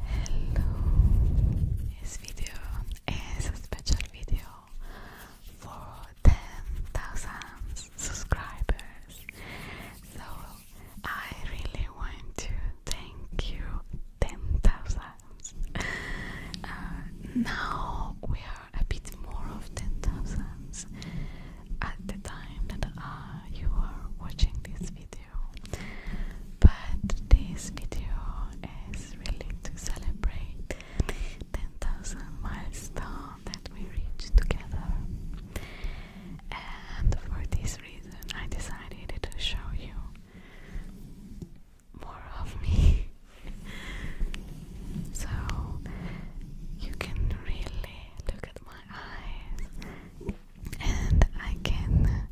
Hello! This video is a special video for 10,000 subscribers. So I really want to thank you 10,000. Uh, now we are a bit more of 10,000 at the time that uh, you are watching this video. But this video is really to celebrate the 10,000 milestone that we reached together. And for this reason, I decided to show you more of me. so you can really look at my eyes and I can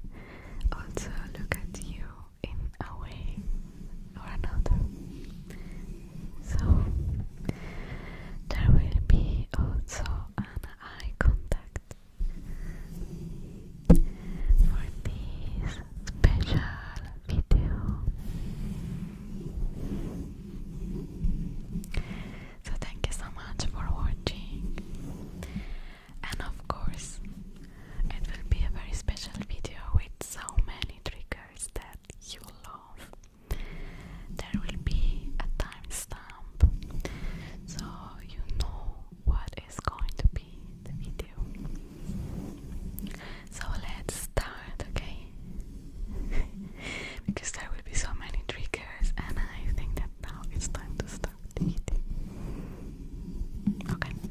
also look at you in a way or another. So there will be also an eye contact for this special video. So thank you so much for watching and of course it will be a very special video with so many triggers that you love. There will be a timestamp so you know what is going to be the video. So let's start, okay? because there will be so many triggers, and I think that now it's time to start. Okay. Enjoy.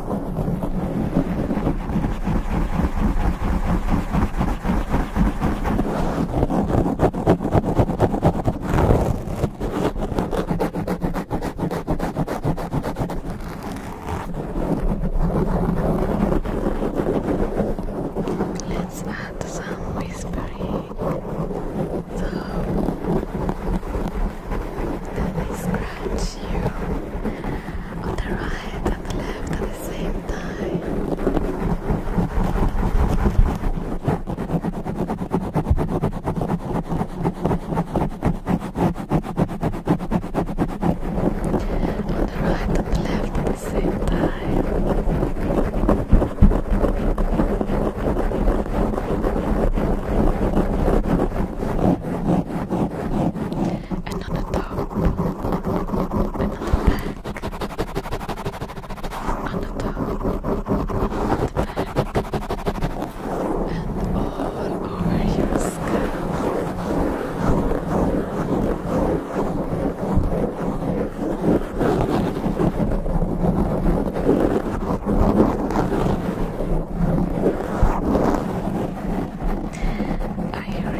Let's add some whispering so that they scratch you on the right and the left on the right and the left at the same time another top, another back, another top, another back, and all over your scalp. I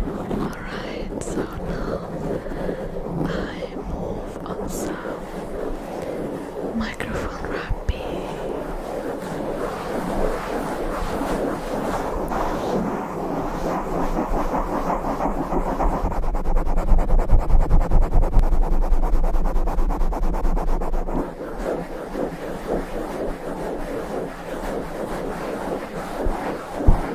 Alright, so now I move on some microphone wrapping.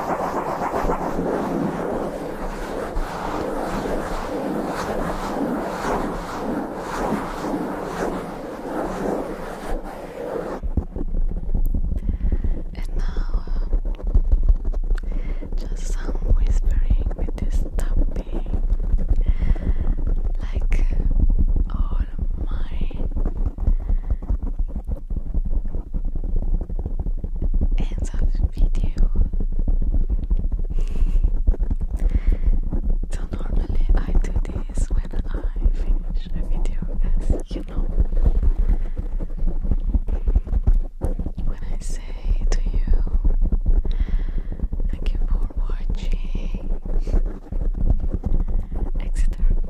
And now, um, just some whispering with this tapping, like all my hands off video. so normally I do this when I finish a video, as you know. When I say to you, thank you for watching, etc.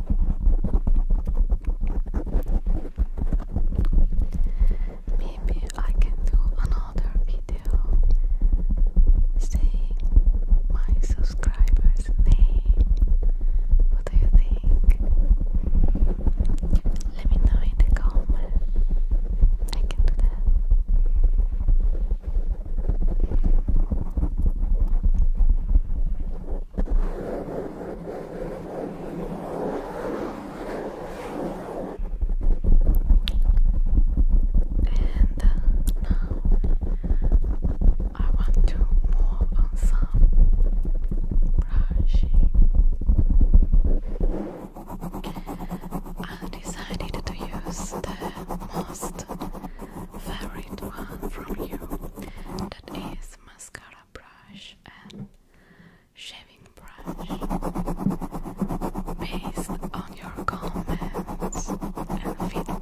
Maybe I can do another video saying my subscribers' name. What do you think? Let me know in the comment. I can do that. And now I want to move on some brushing. I decided to use the most favorite one from you that is mascara brush and shaving brush based on your comments and feedback.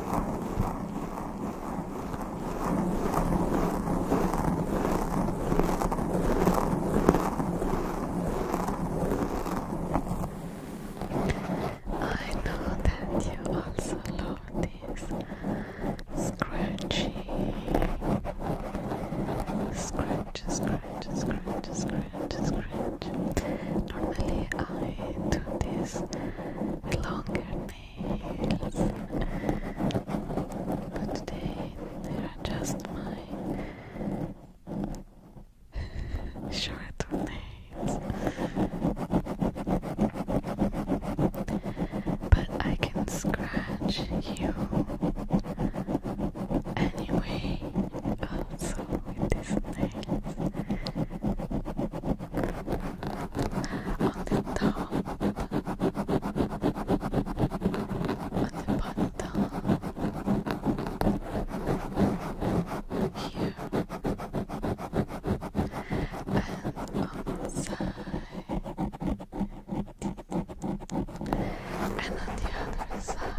I know that you also love these scratchy scratch, scratch, scratch, scratch, scratch, Normally I do this with longer nails, but today they are just my short nails. But I can scratch you anyway also with these nails on the top, on the bottom, here, and on the side. And on the other side,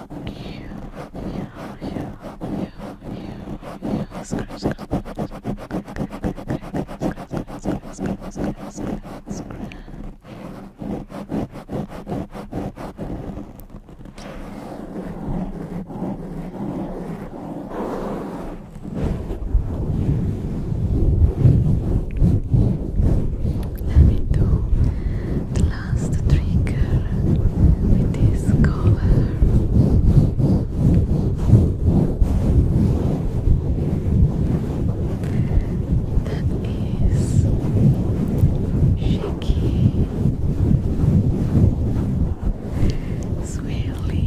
Let me do the last trigger with this color. That is shaky, swirly.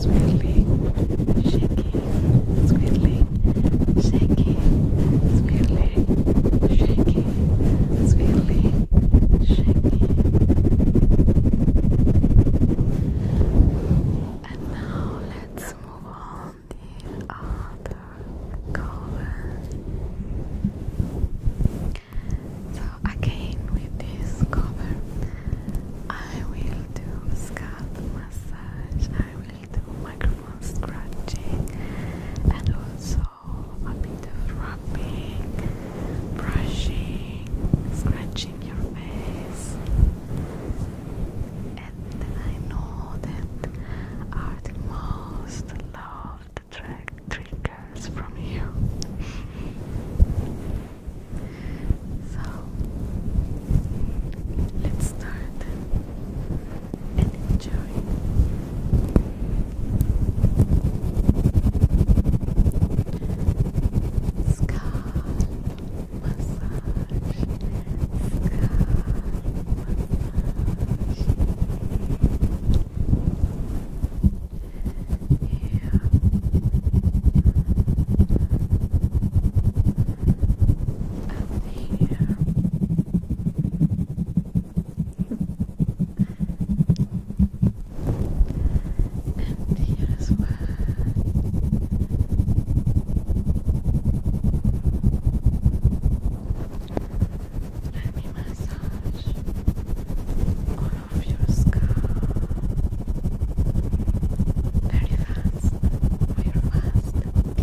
Squiddly, shaking, squiddly, shaking, squiddly, shaking, it's really shaky. And now let's move on the other color. So again with this cover I will do scalp massage, I will do microphone scratching and also a bit of rubbing, brushing, scratching your face, and I know that are the most loved track triggers from you. so let's start and enjoy scalp massage yeah. Up here and here as Let me massage all of your scalp very fast, very fast, tinkle,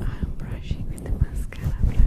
I'm brushing with mascara brush.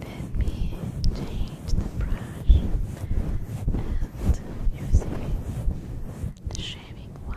Let me change the brush and using the shaving one.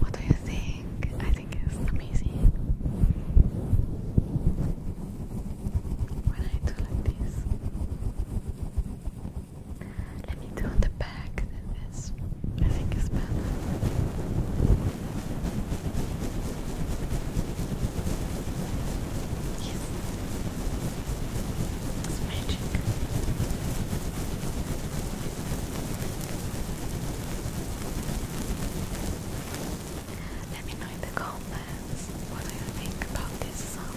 What do you think? I think it's amazing. When I do like this on the back than this. I think it's better. Yes. It's magic. Let me know in the comments what do you think about this song.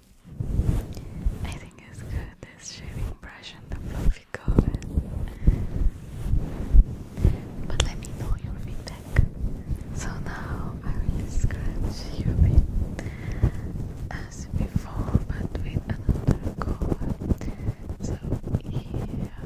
I think it's good this shaving brush and the fluffy cover. But let me know your feedback. So now I will scratch you a as before, but with another cover. So here, here,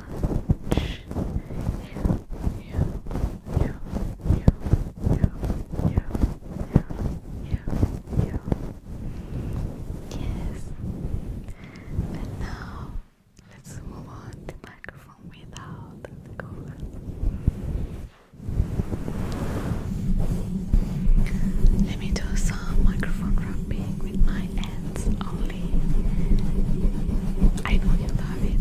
Yes. And now let's move on to microphone without the cover. Let me do some microphone rubbing with my minutes only. I know you love it.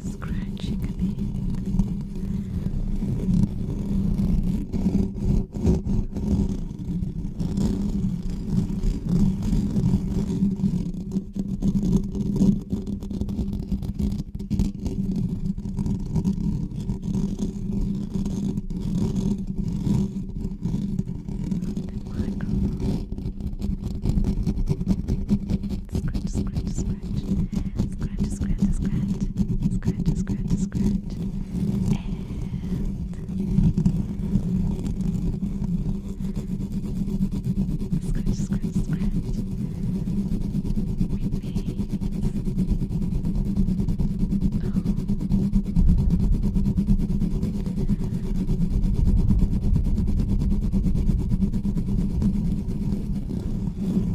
scratching a bit. The microphone scratch, scratch, scratch, scratch, scratch, scratch, scratch, scratch, scratch, and scratch, scratch, scratch. We made. Oh.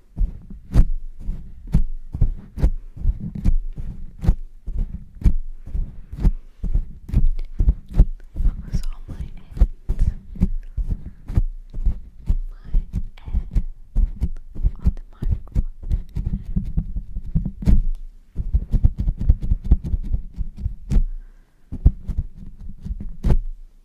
That was all my end. My end on the microphone.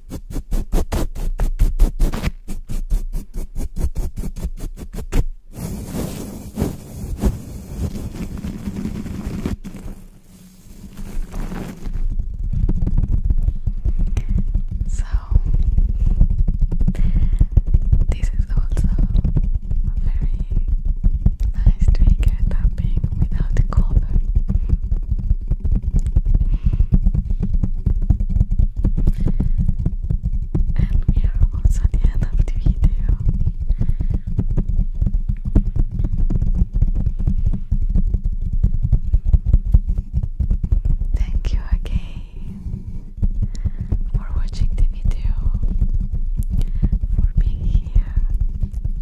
So, this is also a very nice trigger tapping without a and we are the end of the video. Thank you again for watching the video, for being here,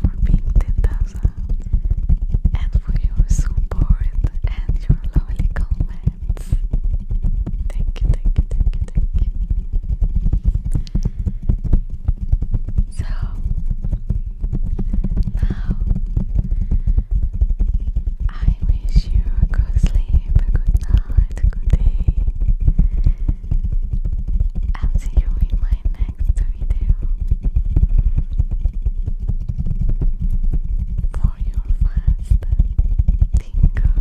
for being tender, and for your support and your lovely comments. Thank you, thank you, thank you, thank you. So now I wish you a good sleep, a good night, a good day. I'll see you in my next next video for your fast tingle.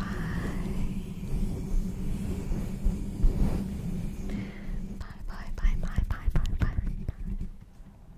Bye. Bye bye bye bye bye bye bye.